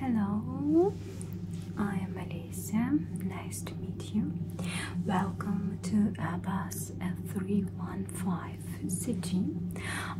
Hello, I am Alicia. Nice to meet you. Welcome to Airbus F315CG.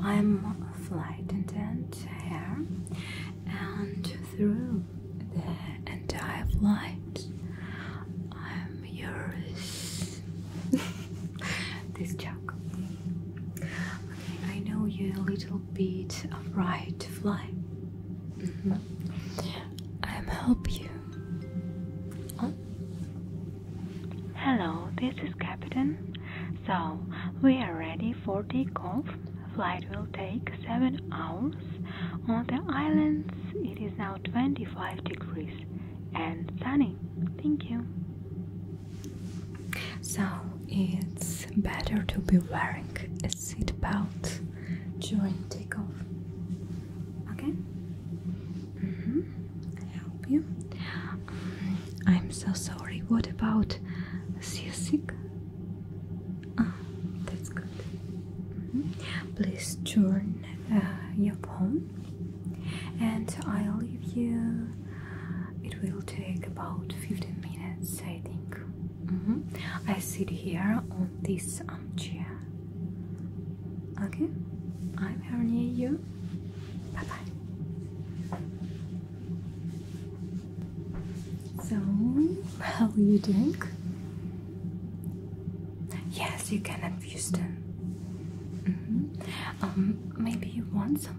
I'm flight attendant here, and through the entire flight, I'm yours. this joke. I know you're a little bit afraid to fly. I'll help you. Oh. Hello, this is Captain. So, we are ready for takeoff. Flight will take 7 hours. On the islands, it is now 25 degrees and sunny. Thank you. So it's better to be wearing a seat belt during takeoff. Okay? Mm -hmm. I help you. Um, I'm so sorry. What about seasick? Oh, ah, that's good. Mm-hmm. Please turn uh, your phone, and I'll leave you it will take about 15 minutes, I think. Mm-hmm. I sit here on this armchair. Okay, I'm here near you. Bye bye. So, how are you doing? Yes, you can abuse them. Mm -hmm. Um, maybe you want some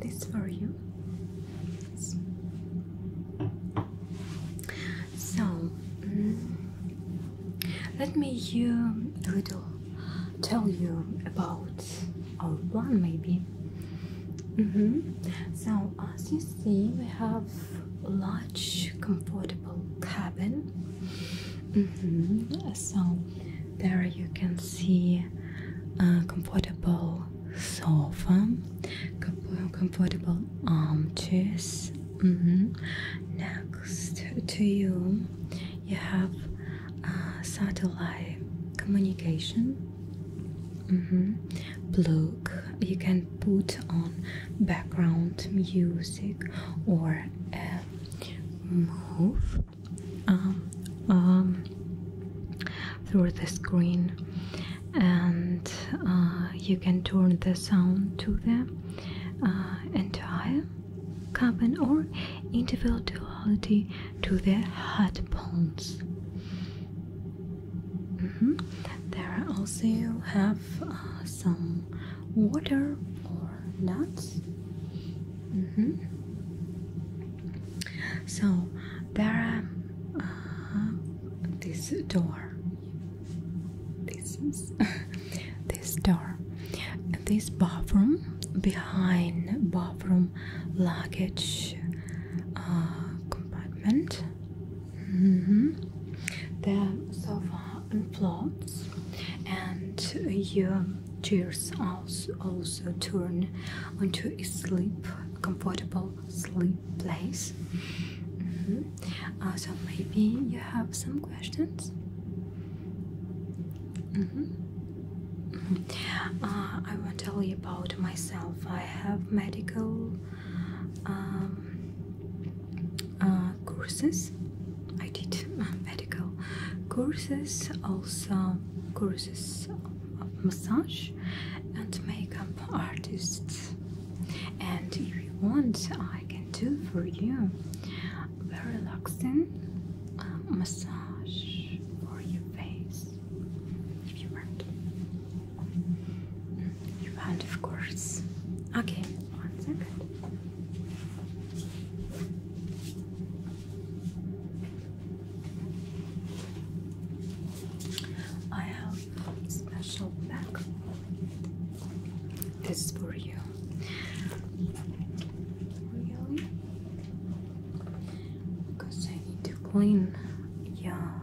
This for you. So mm, let me you little tell you about our plan, maybe. Mm-hmm. So as you see, we have large, comfortable cabin. Mm-hmm. So there you can see a comfortable sofa, couple of comfortable armchairs. Mm-hmm. Next to you, you have satellite communication. Mm you can put on background music or move um, um, through the screen and uh, you can turn the sound to the uh, entire cabin or individuality to the headphones Mm-hmm. There are also have uh, some water or nuts. Mm-hmm. So there are uh, this door. This is this door. This bathroom behind bathroom luggage uh, compartment. Mm -hmm. The sofa implodes, and your chairs also, turn into a sleep, comfortable sleep place. Mm so maybe you have some questions. Mm-hmm. Mm-hmm. Uh, I won't tell you about myself. I have medical um, uh, courses I did uh, medical courses also courses of massage and makeup artists and if you want I can do for you very relaxing um, massage for your face if you want and of course, okay, one second. I have special bag. This is for you. Really? Because I need to clean. Yeah.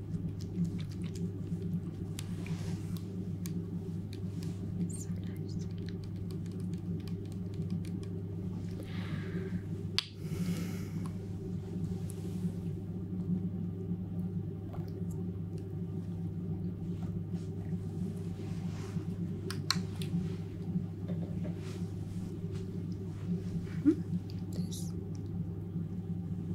So nice. Mm -hmm. This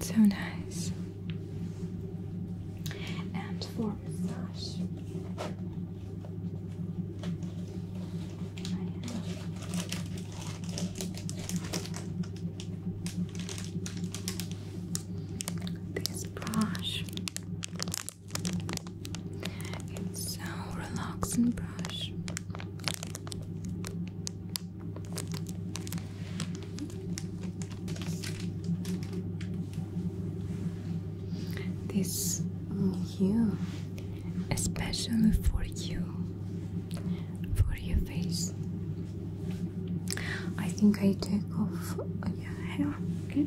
So nice. And for massage, I this brush. It's so relaxing brush. This you, especially for you, for your face. I think I took off oh, your hair, okay?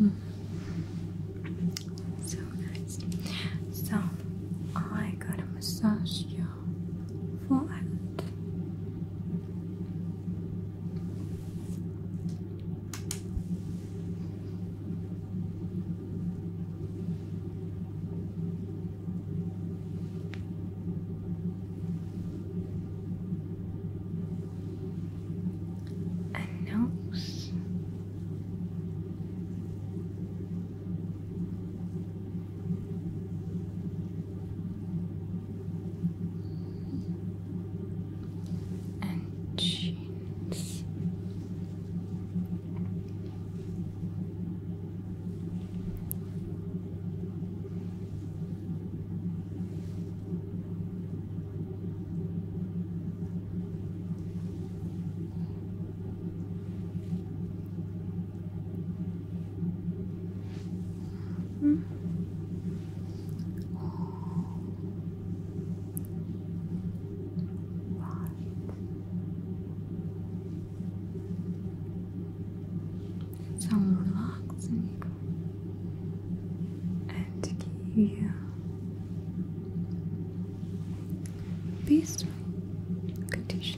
Mm. So nice. So I got a massage you flat. A nose and chins. Hmm? Right. Some relaxing and give you peaceful conditions.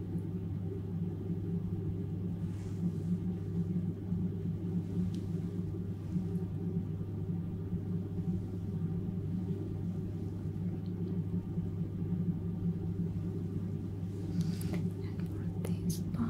and for this part,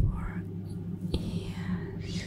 for ears. Very beautiful. Ears.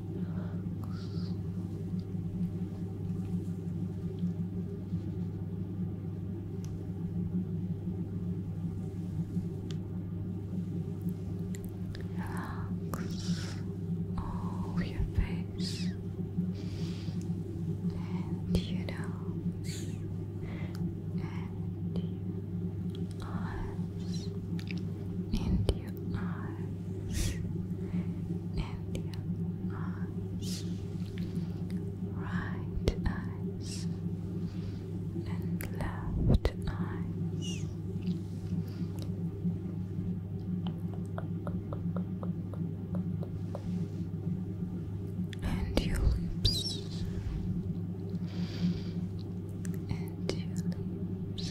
Relax all your face and your nose and your eyes and your eyes and your arms, right eyes, and left eyes. And your lips, and your lips,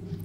and in.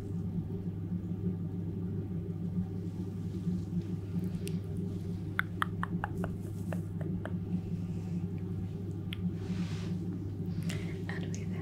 And with that, to pizza.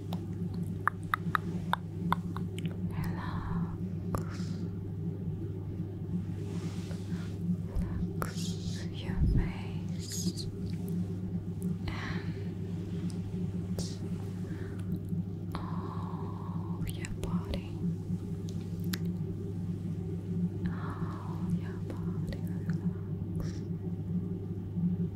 Relax your face and all your body. All your body Relax.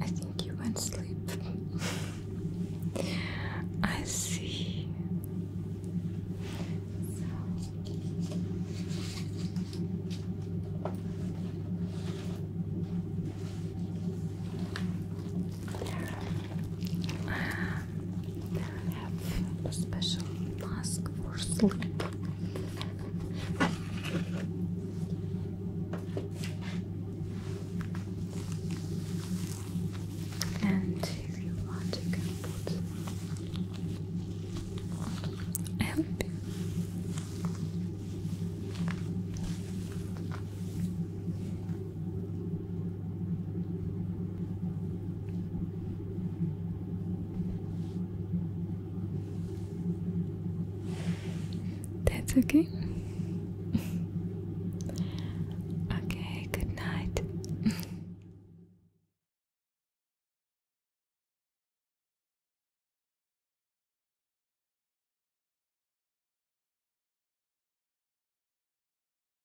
I think you went sleep. I see. They have a special mask for sleep. And if you want, you can put help. That's okay. okay, good night.